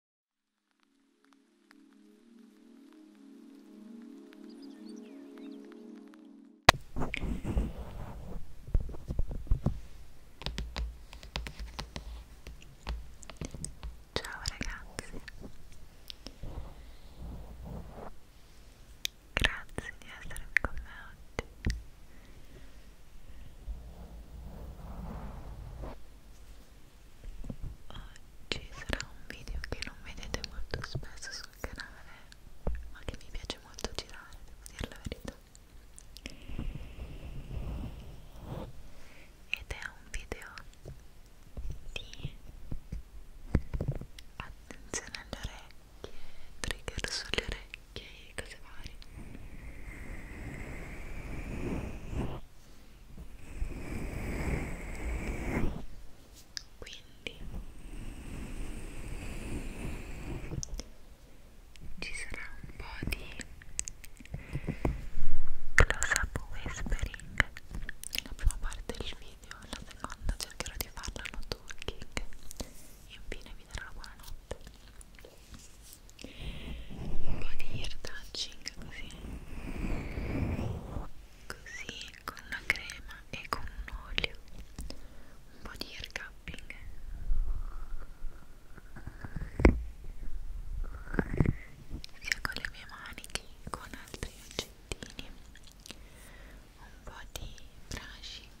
Ciao ragazzi, grazie di essermi con me oggi. Spero Oggi sarà un video che non vedete molto spesso sul canale, ma che mi piace molto girare, devo dire la verità. Ed è un video di attenzione alle orecchie, trigger sulle orecchie e cose varie quindi ci sarà un po' di close up whispering nella prima parte del video la seconda cercherò di farla no talking e infine vi darò la buonanotte un po' di ear touching così così con la crema e con un olio un po' di ear cupping sia con le mie mani che con altri oggettini un po' di brushing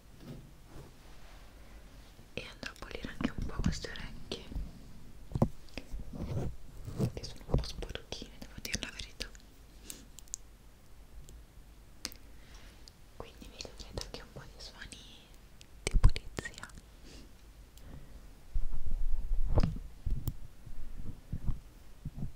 e andrò a pulire anche un po' queste orecchie che sono un po' sporchine devo dire la verità quindi vi chiedo anche un po' di suoni di pulizia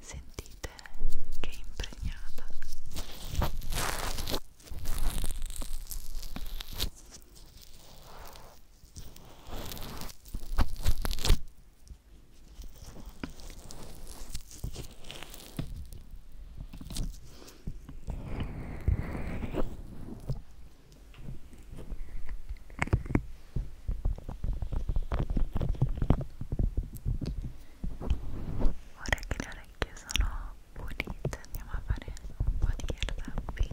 Sentite che è impregnata. Ora che le orecchie sono pulite andiamo a fare un po' di air tapping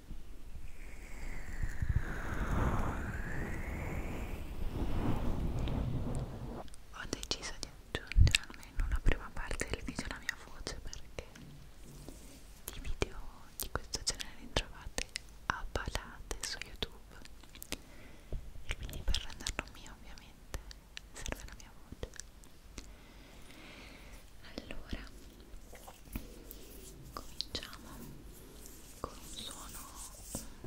Ho deciso di aggiungere almeno una prima parte del video alla mia voce perché di video di questo genere ne trovate a palate su YouTube e quindi per renderlo mio ovviamente serve la mia voce. Allora, cominciamo con un suono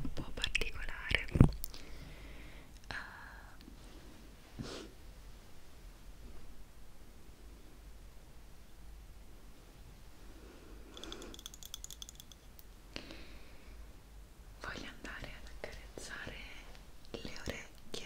un po' particolare uh, voglio andare ad accarezzare le orecchie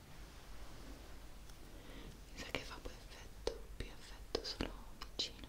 mi sa che fa più effetto, più effetto solo vicino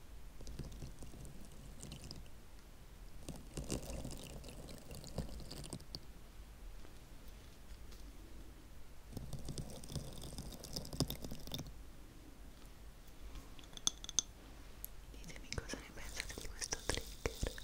Ditemi cosa ne pensate di questo trigger. Io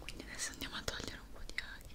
Quindi adesso andiamo a togliere un po' di aghi.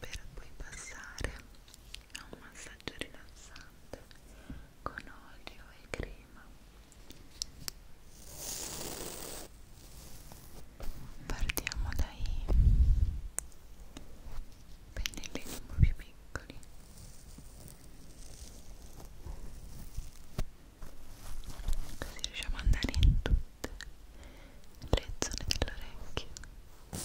per poi passare a un massaggio rilassante con olio e crema partiamo dai pennellini un po' più piccoli così riusciamo ad andare in tutti direttamente le zone dell'orecchio Ora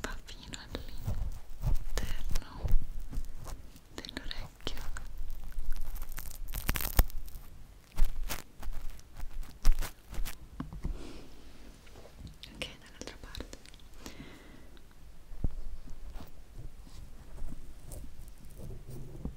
va fino all'interno dell'orecchio ok dall'altra parte ok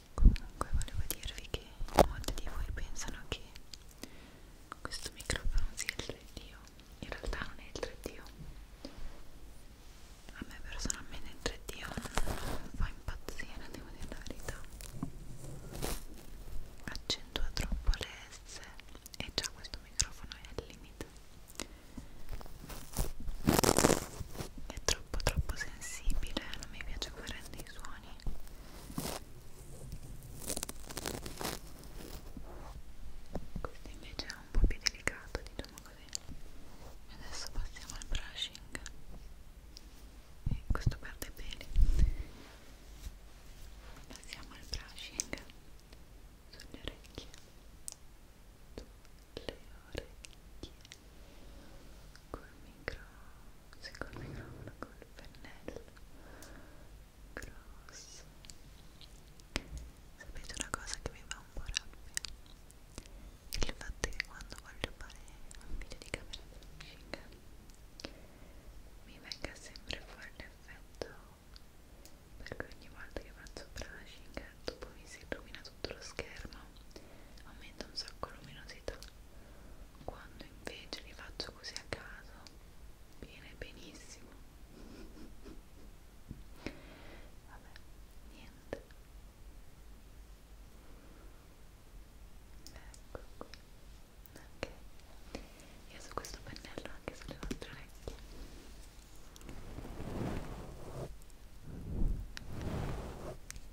comunque volevo dirvi che molti di voi pensano che questo microfono sia il 3D in realtà non è il 3D a me personalmente il 3D non fa impazzire devo dire la verità accentua troppo le S e già questo microfono è al limite è troppo troppo troppo sensibile non mi piace fare dei suoni questo invece è un po' più delicato diciamo così e adesso passiamo al brushing e questo perde i peli passiamo al brushing sulle orecchie sulle orecchie col micro sì, col microfono col pennello grosso sapete una cosa che mi fa un po' rabbia il fatto che quando voglio fare un video di camera fresca mi venga sempre fuori l'effetto perché ogni volta che faccio brushing dopo mi si illumina tutto lo schermo aumenta un sacco la luminosità quando invece li faccio così a caso viene benissimo vabbè niente ecco qui ok io su questo pennello anche sulle nostre orecchie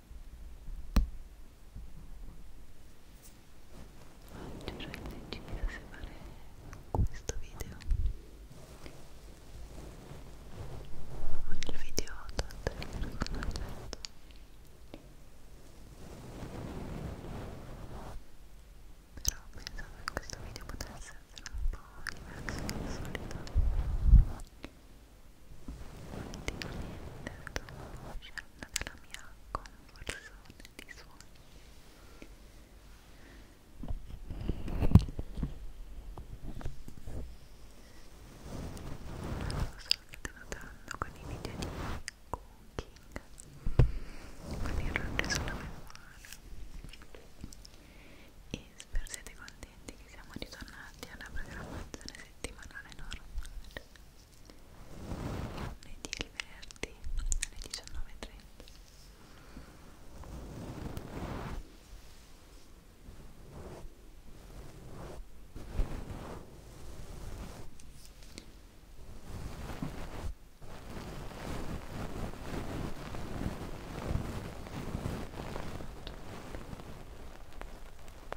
Oggi ho deciso se fare questo video o il video trattenere con oggetto però pensavo che questo video potesse essere un po' diverso dal solito scendo dalla mia conversione di suoni non so se state notando con i video di cooking quindi errore sulla memoria e spero siete contenti che siamo ritornati alla programmazione settimanale normale lunedì e il venerdì alle 19.30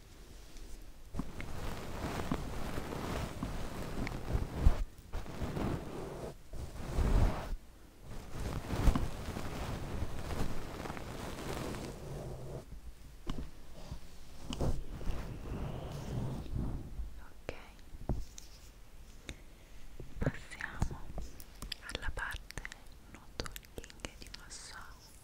Ok, passiamo alla parte noto di massaggio.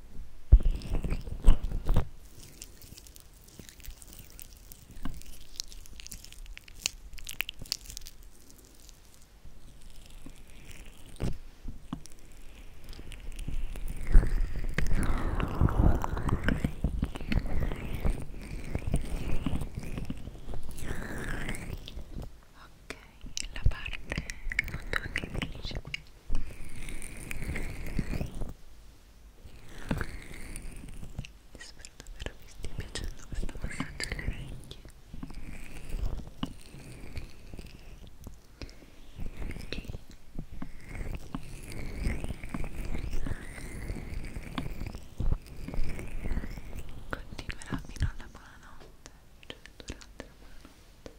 Ok, la parte non finisce qui Spero davvero vi stia piacendo questo massaggio alle orecchie che continuerà fino alla buonanotte cioè durante la buonanotte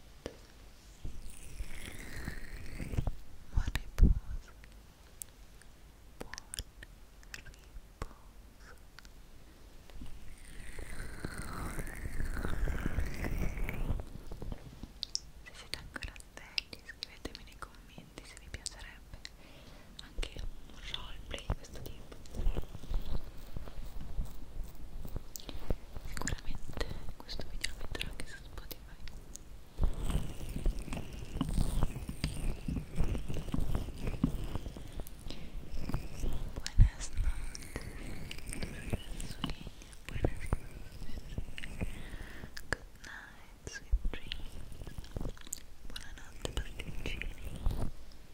Buon riposo. Buon riposo. Se siete ancora svegli, scrivetemi nei commenti se vi piacerebbe anche un roleplay questo video Sicuramente questo video lo metterò anche su Spotify. Buenas noches, buenas noches. Good night, sweet dreams. Buonanotte, pasticcini. Buonanotte,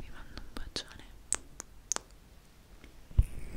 vi mando un bacione Grazie